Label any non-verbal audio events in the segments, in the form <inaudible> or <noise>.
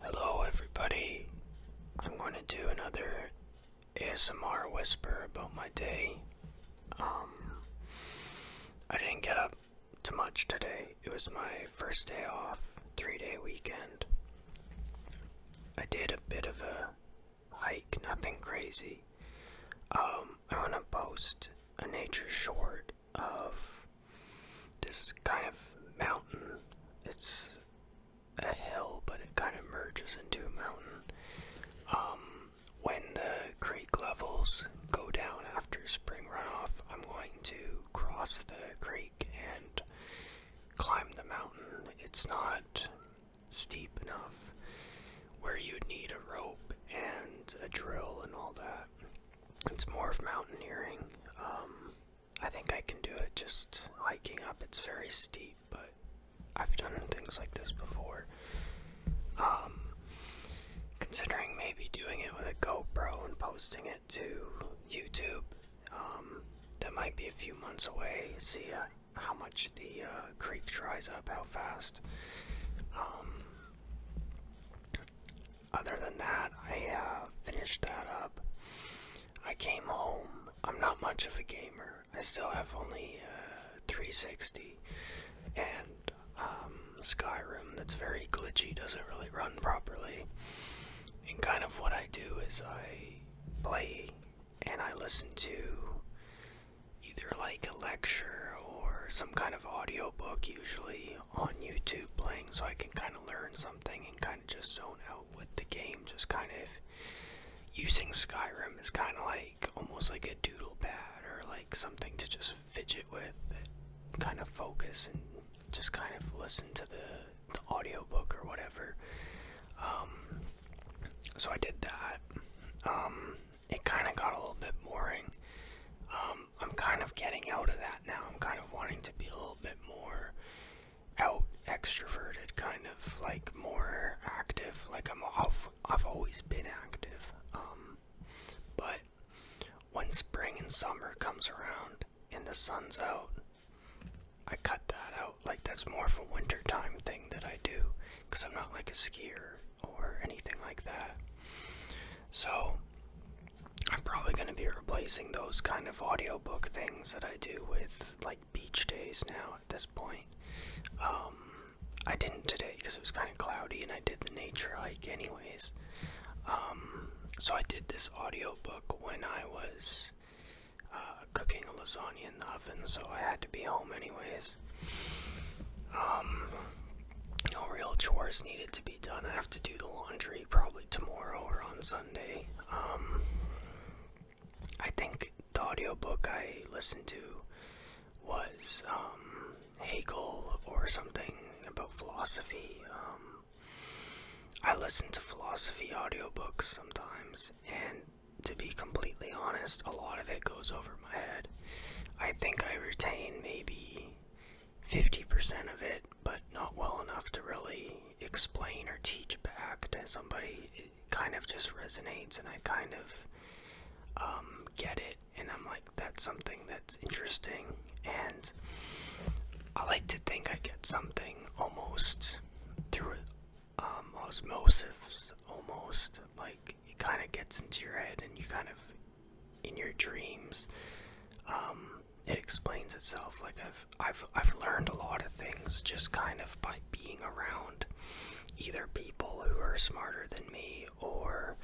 Hello, everybody. I'm going to do another ASMR whisper about my day. Um, I didn't get up too much today. It was my first day off, three day weekend. I did a bit of a hike, nothing crazy. Um, i want to post a nature short of this kind of mountain. It's a hill, but it kind of merges into a mountain. Um, when the creek levels go down after spring runoff, I'm going to cross the creek and climb the mountain. It's not steep enough where you'd need a rope and a drill and all that. It's more of mountaineering. Um, I think I can do it just hiking up. It's very steep, but I've done things like this before. Um, considering maybe doing it with a GoPro and posting it to YouTube. Um, that might be a few months away. See uh, how much the uh, creek dries up, how fast. Um, other than that, I uh, finished that up. I came home. I'm not much of a gamer. I still have only uh, 360 and um, Skyrim that's very glitchy, doesn't really run properly. And kind of what I do is I play and I listen to either like a lecture or some kind of audio book usually on YouTube playing so I can kind of learn something and kind of just zone out with the game. Just kind of using Skyrim is kind of like almost like a doodle pad or like something to just fidget with, kind of focus and just kind of listen to the, audio book or whatever. Um, so I did that. Um, it kind of got a little bit boring. Um, I'm kind of getting out of that now. I'm kind of wanting to be a little bit more out, extroverted, kind of like more active. Like I'm, I've, I've always been active, um, but when spring and summer comes around and the sun's out, I cut that out. Like that's more of a wintertime thing that I do, because I'm not like a skier or anything like that. So I'm probably going to be replacing those kind of audio book things that I do with like beach days now at this point. Um, I didn't today because it was kind of cloudy and I did the nature hike anyways. Um, so I did this audio book when I was uh, cooking lasagna in the oven, so I had to be home anyways. Um, no real chores needed to be done. I have to do the laundry probably tomorrow or on Sunday. Um, I think the audio book I listened to was um, Hegel or something about philosophy. Um, I listen to philosophy audio books sometimes, and to be completely honest, a lot of it goes over my head. I think I retain maybe 50% of it, but not well enough to really explain or teach back to somebody. It kind of just resonates, and I kind of um, get it, and I'm like, that's something that's interesting. And I like to think I get something almost through um, osmosis, almost like it kind of gets into your head, and you kind of in your dreams um, it explains itself like I've, I've I've learned a lot of things just kind of by being around either people who are smarter than me or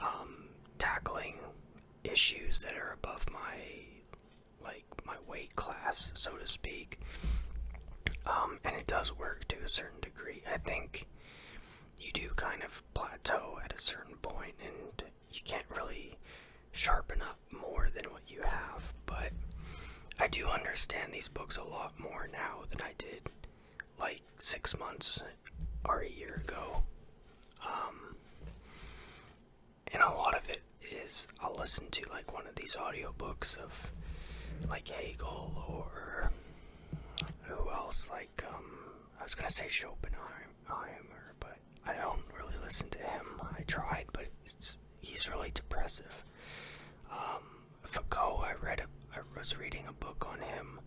um, tackling issues that are above my like my weight class so to speak um, and it does work to a certain degree I think you do kind of plateau at a certain point and you can't really sharpen up more than what you have, but I do understand these books a lot more now than I did like six months or a year ago. Um, and a lot of it is I'll listen to like one of these audio books of like Hegel or who else like um I was gonna say Schopenhauer Heimer, but I don't really listen to him. I tried, but it's, he's really depressive. Um, Foucault, I read a, I was reading a book on him,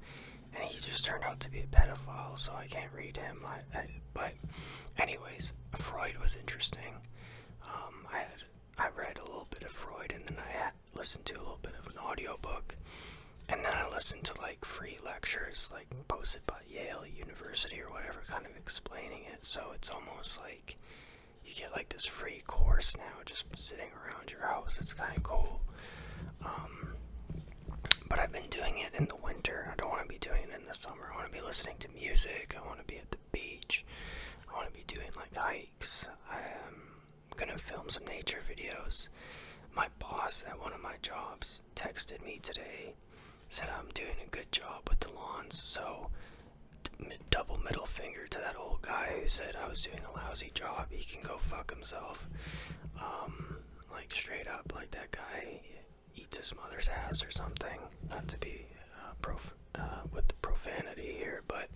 and he just turned out to be a pedophile, so I can't read him. I, but, anyways, Freud was interesting. Um, I had I read a little bit of Freud, and then I listened to a little bit of an audio book and then I listen to like free lectures, like posted by Yale University or whatever, kind of explaining it. So it's almost like you get like this free course now just sitting around your house. It's kind of cool. Um, but I've been doing it in the winter. I don't want to be doing it in the summer. I want to be listening to music. I want to be at the beach. I want to be doing like hikes. I'm gonna film some nature videos. My boss at one of my jobs texted me today, said I'm doing a good job with the lawns, so double middle finger to that old guy who said I was doing a lousy job. He can go fuck himself. Um, like straight up, like that guy eats his mother's ass or something. Not to be uh, prof uh, with the profanity here, but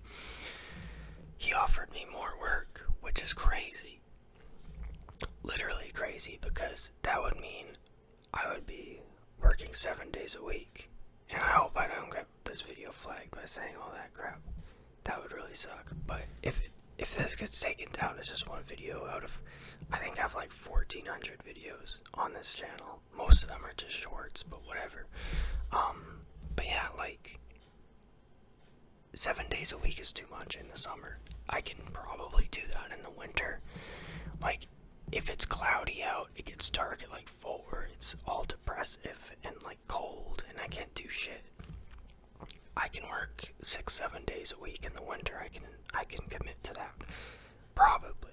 he offered me more work, which is crazy Literally crazy because that would mean I would be working seven days a week. And I hope I don't get this video flagged by saying all that crap. That would really suck. But if if this gets taken down, it's just one video out of I think I have like 1,400 videos on this channel. Most of them are just shorts, but whatever. Um, but yeah, like seven days a week is too much in the summer. I can probably do that in the winter. Like, if it's cloudy out, it gets dark at like four, it's all depressive and like cold, and I can't do shit. I can work six, seven days a week in the winter. I can, I can commit to that, probably.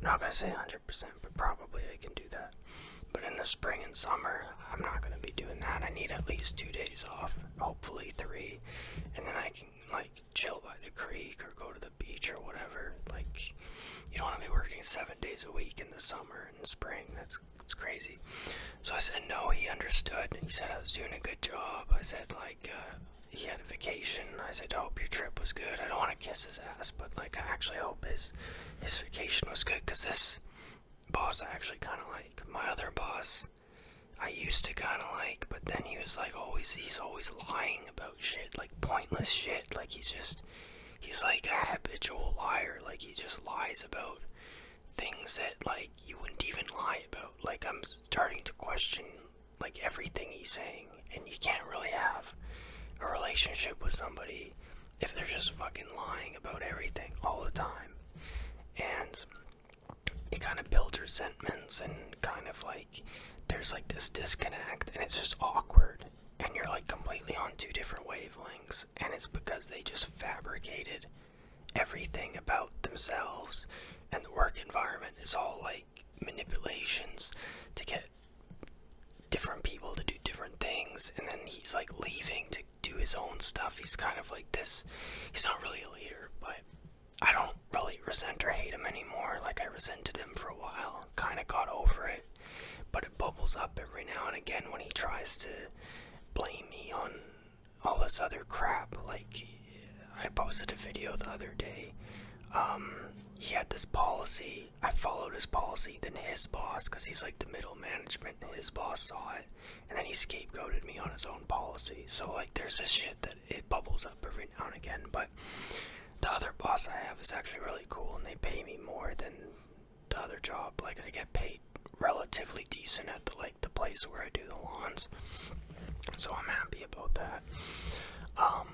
not gonna say 100%, but probably I can do that. But in the spring and summer, I'm not gonna be doing that. I need at least two days off, hopefully three, and then I can like chill by the creek or go to the beach or whatever. Like, you don't want to be working seven days a week in the summer and spring. That's it's crazy. So I said no. He understood. He said I was doing a good job. I said like. Uh, he had a vacation. I said, I hope your trip was good. I don't want to kiss his ass, but like, I actually hope his his vacation was good because this boss actually kind of like. My other boss, I used to kind of like, but then he was like always, he's always lying about shit, like pointless shit. Like he's just, he's like a habitual liar. Like he just lies about things that like you wouldn't even lie about. Like I'm starting to question like everything he's saying, and you can't really have a relationship with somebody if they're just fucking lying about everything all the time. And it kind of builds resentments and kind of like there's like this disconnect and it's just awkward and you're like completely on two different wavelengths and it's because they just fabricated everything about themselves and the work environment is all like manipulations to get different people to do different things and then he's like leaving to do his own stuff. He's kind of like this. He's not really a leader, but I don't really resent or hate him anymore. Like I resented him for a while, kind of got over it, but it bubbles up every now and again when he tries to blame me on all this other crap. Like I posted a video the other day. Um, he had this policy. I followed his policy. Then his boss, because he's like the middle management, his boss saw it and then he scapegoated me on his own policy. So like there's this shit that it bubbles up every now and again. But the other boss I have is actually really cool, and they pay me more than the other job. Like I get paid relatively decent at the like the place where I do the lawns. So I'm happy about that. Um,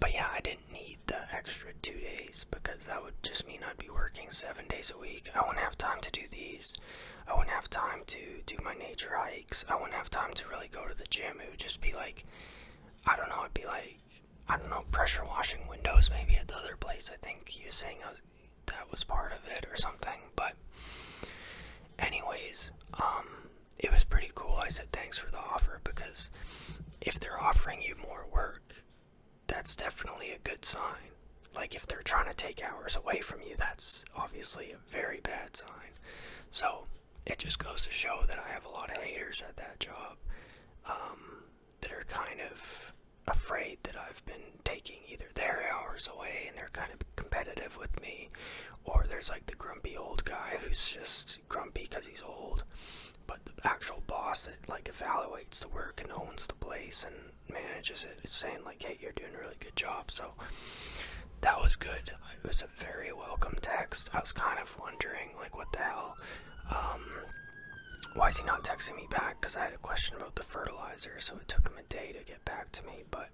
but yeah, I didn't need the extra two days because that would just mean I'd be working seven days a week. I wouldn't have time to do these. I wouldn't have time to do my nature hikes. I wouldn't have time to really go to the gym. It would just be like, I don't know, it'd be like, I don't know, pressure washing windows maybe at the other place. I think you was saying uh, that was part of it or something. But, anyways, um, it was pretty cool. I said thanks for the offer because if they're offering you more work, that's definitely a good sign. Like, if they're trying to take hours away from you, that's obviously a very bad sign. So, it just goes to show that I have a lot of haters at that job um, that are kind of afraid that I've been taking either their hours away and they're kind of competitive with me, or there's like the grumpy old guy who's just grumpy because he's old, but the actual boss that like evaluates the work and owns the place and manages it, saying like, "Hey, you're doing a really good job." So that was good. It was a very welcome text. I was kind of wondering like, what the hell? Um, why is he not texting me back? Because I had a question about the fertilizer, so it took him a day to get back to me. But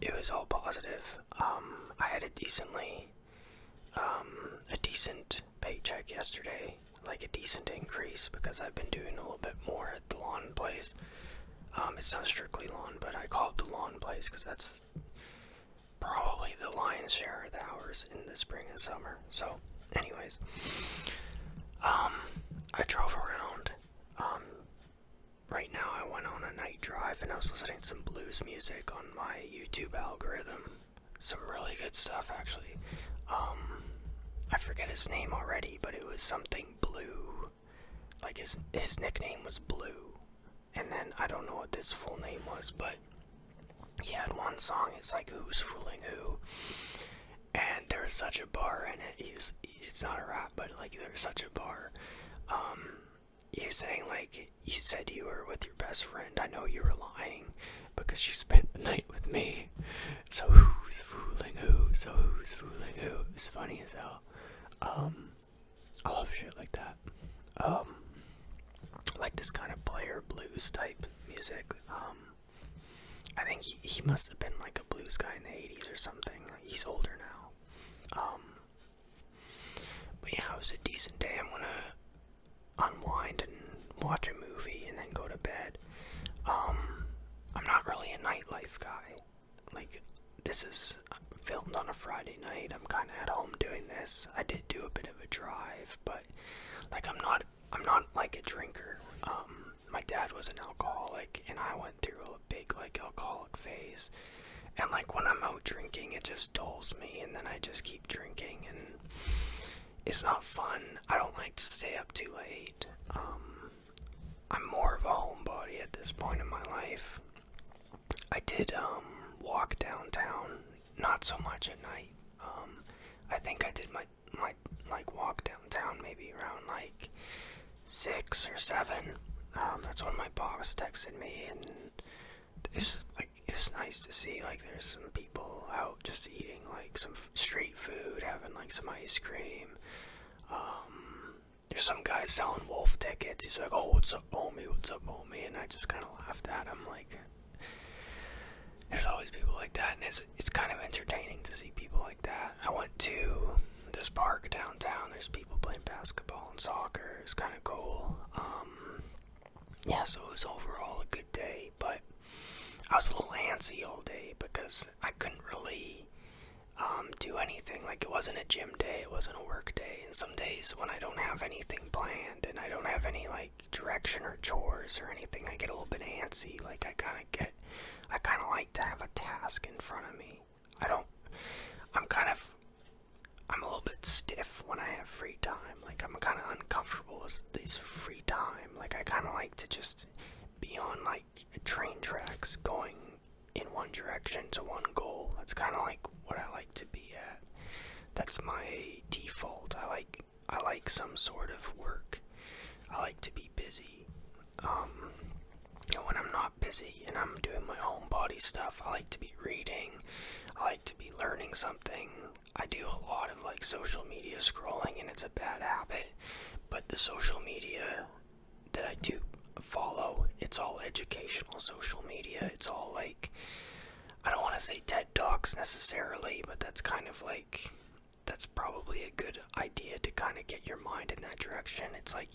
it was all positive. Um, I had a decently, um, a decent paycheck yesterday, like a decent increase because I've been doing a little bit more the lawn place. Um, it's not strictly lawn, but I call it the lawn place because that's probably the lion's share of the hours in the spring and summer. So, anyways, um, I drove around. Um, right now, I went on a night drive and I was listening to some blues music on my YouTube algorithm. Some really good stuff, actually. I forget his name already, but it was something blue. Like his his nickname was Blue. And then I don't know what this full name was, but he had one song. It's like Who's Fooling Who? And there's such a bar in it. He it's not a rap, but like there's such a bar. Um, he saying like you said you were with your best friend. I know you were lying because you spent the night with me. So who's fooling who? So who's fooling who? It's funny as hell. Um, I love shit like that. Um, like this kind of player blues type music. Um, I think he, he must have been like a blues guy in the 80s or something. He's older now. Um, but yeah, it was a decent day. I'm gonna unwind and watch a movie and then go to bed um, I'm not really a nightlife guy. Like, this is filmed on a Friday night. I'm kind of at home doing this. I did do a bit of a drive, but like, I'm not, I'm not like a drinker. Um, my dad was an alcoholic, and I went through a big like alcoholic phase. And like when I'm out drinking, it just dulls me, and then I just keep drinking, and it's not fun. I don't like to stay up too late. Um, I'm more of a homebody at this point in my life. I did um, walk downtown, not so much at night. Um, I think I did my my like walk downtown maybe around like six or seven. Um, that's when my boss texted me, and it's like it was nice to see like there's some people out just eating like some street food, having like some ice cream um, there's some guy selling wolf tickets. He's like, "Oh, what's up, homie? What's up, homie?" And I just kind of laughed at him. Like, there's always people like that, and it's it's kind of entertaining to see people like that. I went to this park downtown. There's people playing basketball and soccer. It's kind of cool. Um, yeah, so it was overall a good day, but I was a little antsy all day because I couldn't really um, do anything. Like it wasn't a gym day, it wasn't a work day. And some days when I don't have anything planned and I don't have any like direction or chores or anything, I get a little bit antsy. Like I kind of get, I kind of like to have a task in front of me. I don't, I'm kind of, I'm a little bit stiff when I have free time. Like I'm kind of uncomfortable with this free time. Like I kind of like to just be on like train tracks going in one direction to one goal. That's kind of like what I like to be at. That's my default. I like I like some sort of work. I like to be busy. Um, and when I'm not busy and I'm doing my own body stuff, I like to be reading. I like to be learning something. I do a lot of like social media scrolling, and it's a bad habit. But the social media that I do follow, it's all educational social media. It's all like, I don't want to say TED Talks necessarily, but that's kind of like, that's probably a good idea to kind of get your mind in that direction. It's like,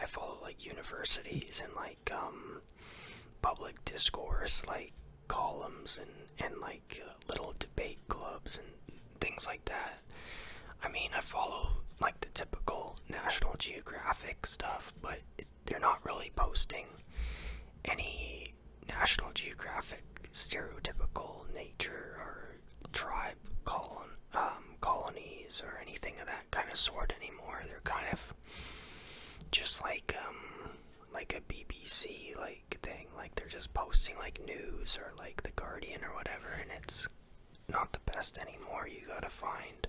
I follow like universities and like um, public discourse, like columns and, and like uh, little debate clubs and things like that. I mean, I follow like the typical National Geographic stuff, but it, they're not really posting any National Geographic stereotypical nature or tribe colon um, colonies or anything of that kind of sort anymore. They're kind of just like um, like a BBC like like thing. Like they're just posting like news or like The Guardian or whatever, and it's not the best anymore. You gotta find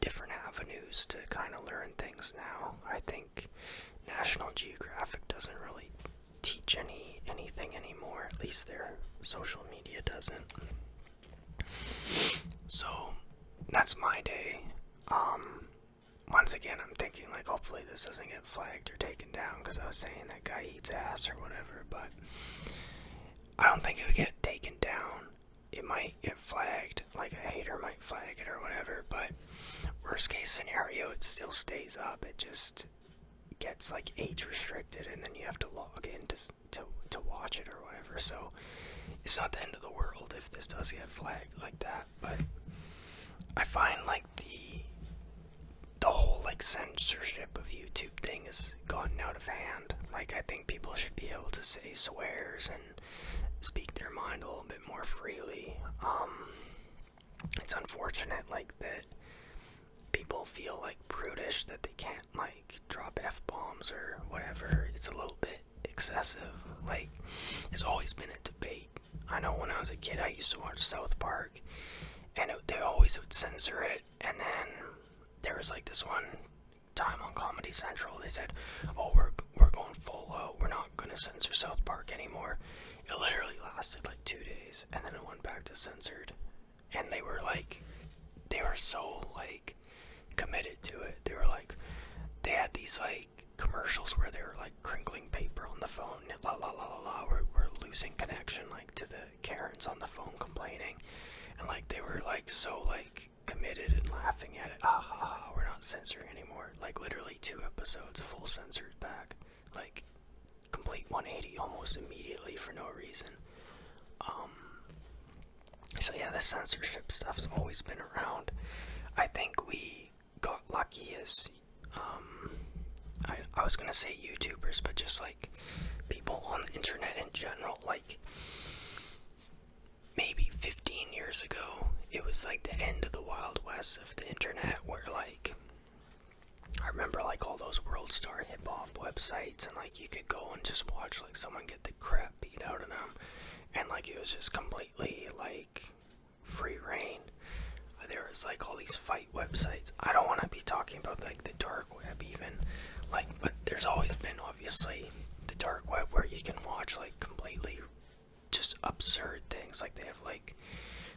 different avenues to kind of learn things now. I think National Geographic doesn't really teach any anything anymore. At least their social media doesn't. So that's my day. Um, once again, I'm thinking like hopefully this doesn't get flagged or taken down because I was saying that guy eats ass or whatever, but I don't think it would get taken down. It might get flagged, like a hater might flag it or whatever, but worst case scenario, it still stays up. It just gets like age restricted and then you have to log in to, to watch it or whatever. So it's not the end of the world if this does get flagged like that, but I find like the the whole like censorship of YouTube thing has gotten out of hand. Like I think people should be able to say swears and speak their mind a little bit more freely. Um, it's unfortunate like that people feel like brutish that they can't like drop F bombs or whatever. It's a little bit excessive. Like it's always been a debate I know when I was a kid, I used to watch South Park, and it, they always would censor it. And then there was like this one time on Comedy Central, they said, "Oh, we're we're going full out. We're not gonna censor South Park anymore." It literally lasted like two days, and then it went back to censored. And they were like, they were so like committed to it. They were like, they had these like commercials where they were like crinkling paper on the phone. La la la la la. We're, losing connection, like to the Karens on the phone complaining, and like they were like so like committed and laughing at it. Ah ha ha. We're not censoring anymore. Like literally two episodes full censored back. Like complete 180 almost immediately for no reason. Um. So yeah, the censorship stuff's always been around. I think we got lucky is um I, I was gonna say YouTubers, but just like people on the internet in general, like maybe 15 years ago, it was like the end of the Wild West of the internet, where like I remember like all those world star hip hop websites, and like you could go and just watch like someone get the crap beat out of them, and like it was just completely like free reign. There was like all these fight websites. I don't want to be talking about like the dark web even, like, but there's always been obviously the dark web where you can watch like completely just absurd things. Like they have like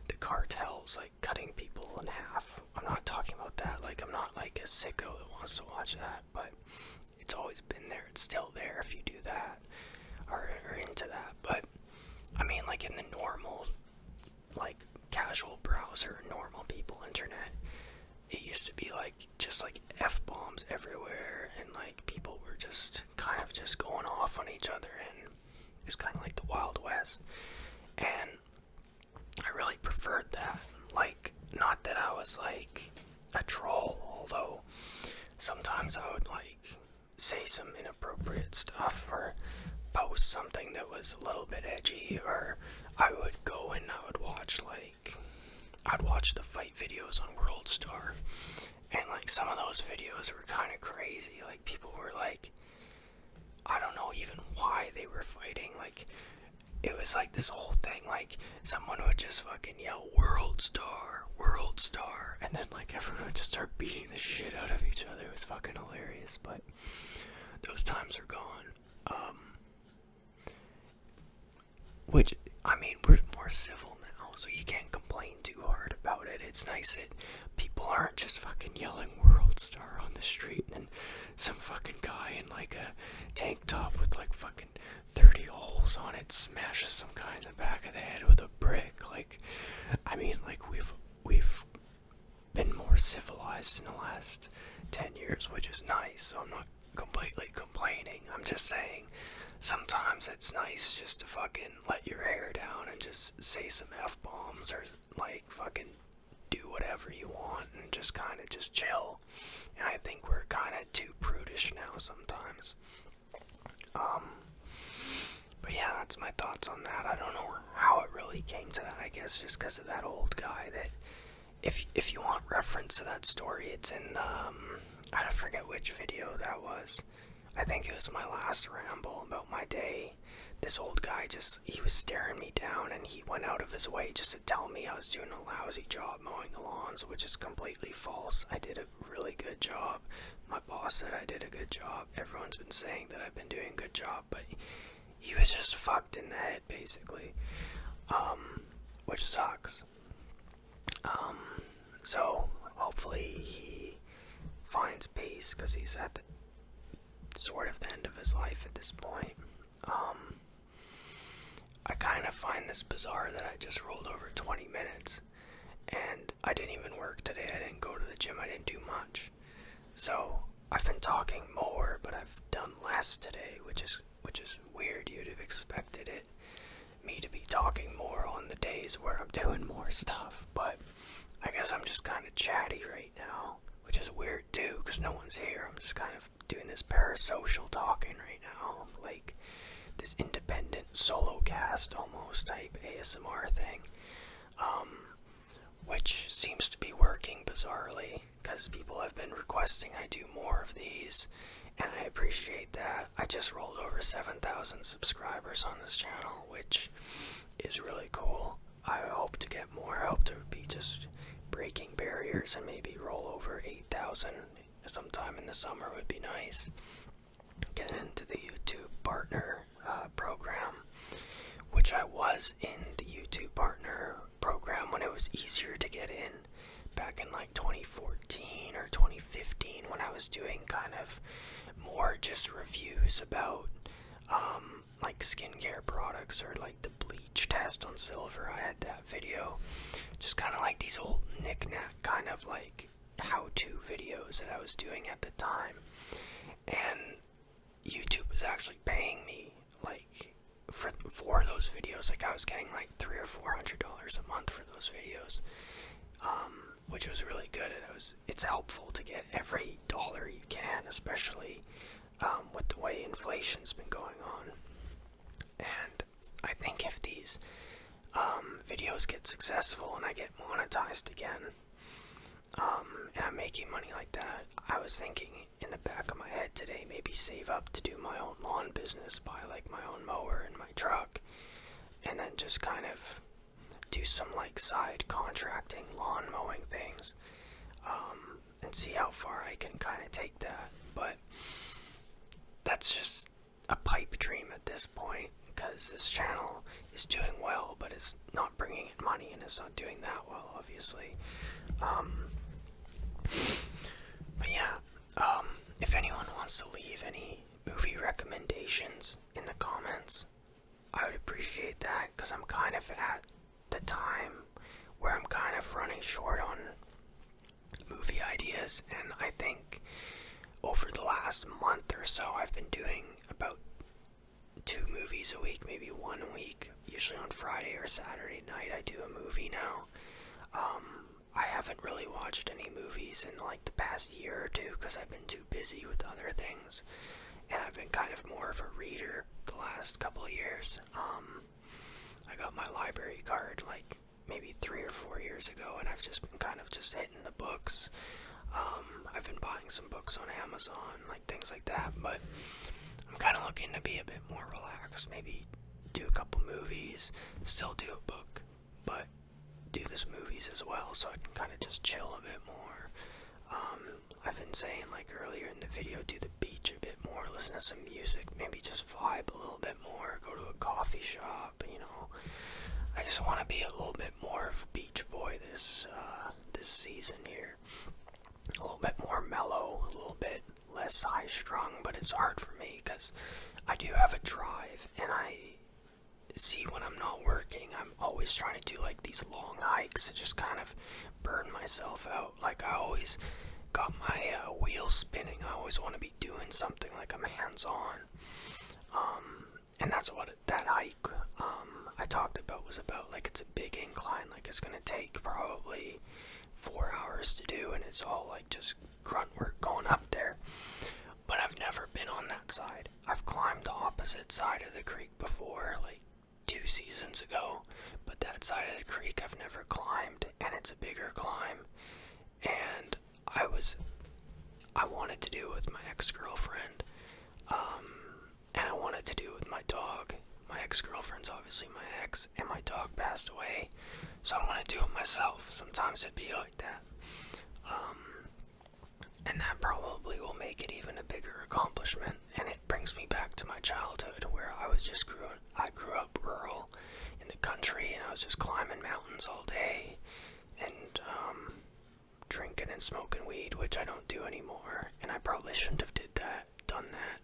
the cartels like cutting people in half. I'm not talking about that. Like I'm not like a sicko that wants to watch that, but it's always been there. It's still there if you do that or, or into that. But I mean, like in the normal like casual browser, normal people internet. It used to be like just like f bombs everywhere, and like people were just kind of just going off on each other, and it's kind of like the Wild West. And I really preferred that. Like, not that I was like a troll, although sometimes I would like say some inappropriate stuff or post something that was a little bit edgy or I would go and I would watch like I'd watch the fight videos on World Star and like some of those videos were kind of crazy like people were like I don't know even why they were fighting like it was like this whole thing like someone would just fucking yell world star world star and then like everyone would just start beating the shit out of each other. It was fucking hilarious, but those times are gone. Um, which, I mean, we're more civil now, so you can't complain too hard about it. It's nice that people aren't just fucking yelling world star on the street and some fucking guy in like a tank top with like fucking 30 holes on it smashes some guy in the back of the head with a brick. Like, I mean, like, we've we've been more civilized in the last 10 years, which is nice. So I'm not completely complaining. I'm just saying sometimes it's nice just to fucking let your hair down and just say some F bombs or like fucking do whatever you want and just kind of just chill. And I think we're kind of too prudish now sometimes. Um, but yeah, that's my thoughts on that. I don't know how it really came to that. I guess just because of that old guy. That if if you want reference to that story, it's in um, I don't forget which video that was. I think it was my last ramble about my day. This old guy just he was staring me down, and he went out of his way just to tell me I was doing a lousy job mowing the lawns, which is completely false. I did a really good job. My boss said I did a good job. Everyone's been saying that I've been doing a good job, but he was just fucked in the head, basically, um, which sucks. Um, so hopefully he finds peace because he's at the sort of the end of his life at this point. Um, I kind of find this bizarre that I just rolled over 20 minutes and I didn't even work today. I didn't go to the gym. I didn't do much. So I've been talking more, but I've done less today, which is which is weird. You'd have expected it me to be talking more on the days where I'm <laughs> doing more stuff, but I guess I'm just kind of chatty right now, which is weird too, because no one's here. I'm just kind of doing this parasocial talking right now, like this independent solo cast almost type ASMR thing. Um, which seems to be working bizarrely because people have been requesting I do more of these, and I appreciate that. I just rolled over 7,000 subscribers on this channel, which is really cool. I hope to get more. I hope to be just breaking barriers and maybe roll over 8,000 sometime in the summer would be nice get into the YouTube partner uh, program, which I was in the YouTube partner program when it was easier to get in back in like 2014 or 2015 when I was doing kind of more just reviews about um, like skincare products or like the bleach test on silver. I had that video. Just kind of like these old knickknack kind of like how-to videos that I was doing at the time, and YouTube was actually paying me like for for those videos. Like I was getting like three or four hundred dollars a month for those videos, um, which was really good. And it was it's helpful to get every dollar you can, especially um, with the way inflation's been going on. And I think if these um, videos get successful and I get monetized again um, and I'm making money like that, I was thinking in the back of my head today maybe save up to do my own lawn business, buy like my own mower and my truck, and then just kind of do some like side contracting, lawn mowing things, um, and see how far I can kind of take that. But that's just a pipe dream at this point because this channel is doing well, but it's not bringing in money and it's not doing that well, obviously. Um, but yeah, um, if anyone wants to leave any movie recommendations in the comments, I would appreciate that because I'm kind of at the time where I'm kind of running short on movie ideas, and I think over the last month or so, I've been doing about two movies a week, maybe one a week. Usually on Friday or Saturday night, I do a movie now. Um, I haven't really watched any movies in like the past year or two because I've been too busy with other things, and I've been kind of more of a reader the last couple of years. Um, I got my library card like maybe three or four years ago, and I've just been kind of just hitting the books. Um, I've been buying some books on Amazon, like things like that, but I'm kind of looking to be a bit more relaxed. Maybe do a couple movies, still do a book, but do this movies as well so I can kind of just chill a bit more. Um, I've been saying like earlier in the video, do the beach a bit more, listen to some music, maybe just vibe a little bit more, go to a coffee shop up, you know. I just want to be a little bit more of a beach boy this uh, this season here. A little bit more mellow, a little bit less high strung, but it's hard for me because I do have a drive, and I see when I'm not working, I'm always trying to do like these long hikes to just kind of burn myself out. Like I always got my uh, wheels spinning. I always want to be doing something like I'm hands on. Um, and that's what that hike um, I talked about was about. Like it's a big incline, like it's gonna take probably four hours to do, and it's all like just grunt work going up there. But I've never been on that side. I've climbed the opposite side of the creek before, like two seasons ago, but that side of the creek I've never climbed, and it's a bigger climb and I was I wanted to do it with my ex-girlfriend, um, and I wanted to do it with my dog. My ex-girlfriend's obviously my ex, and my dog passed away, so I want to do it myself. Sometimes it'd be like that, um, and that probably will make it even a bigger accomplishment. And it brings me back to my childhood, where I was just grew I grew up rural in the country, and I was just climbing mountains all day, and um, drinking and smoking weed, which I don't do anymore, and I probably shouldn't have did that, done that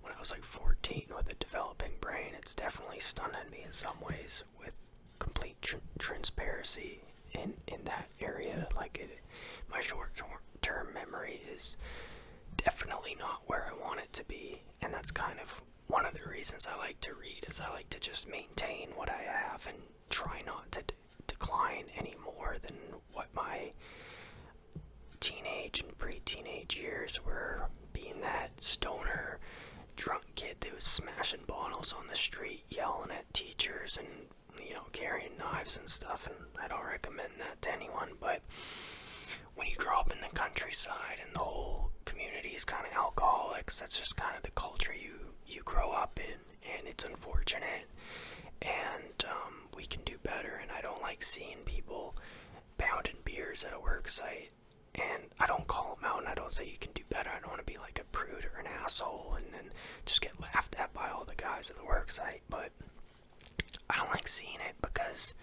when I was like 14 with a developing brain. It's definitely stunned me in some ways with complete transparency in in that area. Like my short-term memory is definitely not where I want it to be, and that's kind of one of the reasons I like to read is I like to just maintain what I have and try not to decline any more than what my teenage and pre-teenage years were being that stoner drunk kid that was smashing bottles on the street yelling at teachers and you know carrying knives and stuff and i don't recommend that to anyone but when you grow up in the countryside and the whole community is kind of alcoholics that's just kind of the culture you you grow up in, and it's unfortunate. And um, we can do better. And I don't like seeing people pounding beers at a work site. And I don't call them out, and I don't say you can do better. I don't want to be like a prude or an asshole, and then just get laughed at by all the guys at the work site. But I don't like seeing it because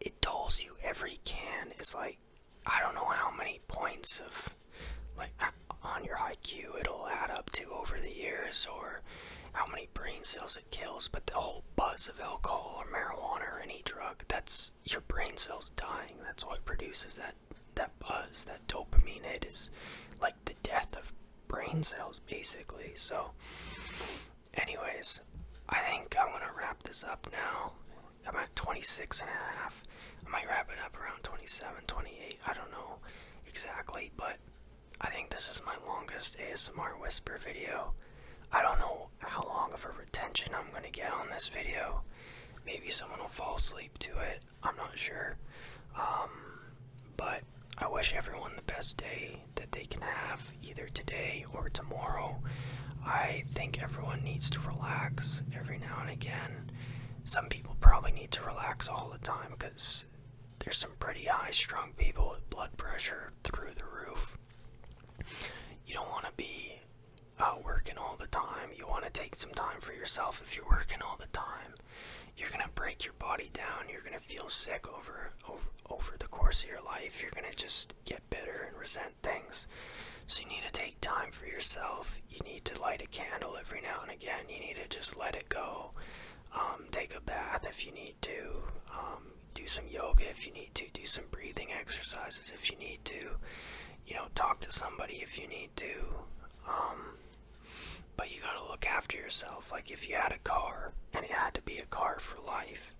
it dulls you. Every can is like I don't know how many points of like on your IQ it'll add up to over the years or how many brain cells it kills, but the whole buzz of alcohol or marijuana or any drug, that's your brain cells dying. That's what produces that that buzz, that dopamine It is, like the death of brain cells basically. So anyways, I think I'm gonna wrap this up now I'm at 26 and a half. I might wrap it up around 27, 28. I don't know exactly, but I think this is my longest ASMR whisper video. I don't know how long of a retention I'm going to get on this video. Maybe someone will fall asleep to it. I'm not sure. Um, but I wish everyone the best day that they can have, either today or tomorrow. I think everyone needs to relax every now and again. Some people probably need to relax all the time because there's some pretty high strung people with blood pressure through the roof. You don't want to be uh, working all the time. You want to take some time for yourself if you're working all the time. You're gonna break your body down. You're gonna feel sick over over the course of your life. You're gonna just get bitter and resent things. So you need to take time for yourself. You need to light a candle every now and again. You need to just let it go. Um, take a bath if you need to. Um, do some yoga if you need to. Do some breathing exercises if you need to. You know, talk to somebody if you need to. Um, but you gotta look after yourself. Like if you had a car and it had to be a car for life,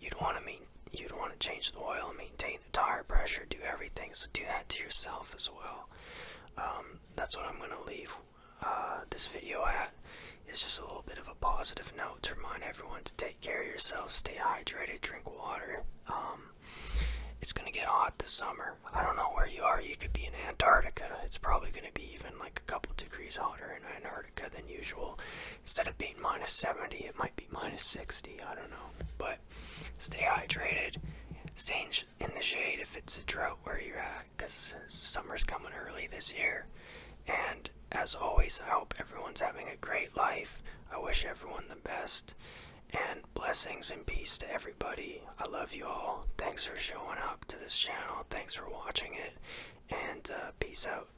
you'd want to mean you'd want to change the oil and maintain tire pressure, do everything. So do that to yourself as well. Um, that's what I'm gonna leave uh, this video at. It's just a little bit of a positive note to remind everyone to take care of yourself, stay hydrated, drink water. Um, it's gonna get hot this summer. I don't know where you are. You could be in Antarctica. It's probably gonna be even like a couple degrees hotter in Antarctica than usual. Instead of being minus 70, it might be minus 60. I don't know, but stay hydrated, stay in, the shade if it's a drought where you're at, because summer's coming early this year. And as always, I hope everyone's having a great life. I wish everyone the best. And blessings and peace to everybody. I love you all. Thanks for showing up to this channel. Thanks for watching it. And uh, peace out.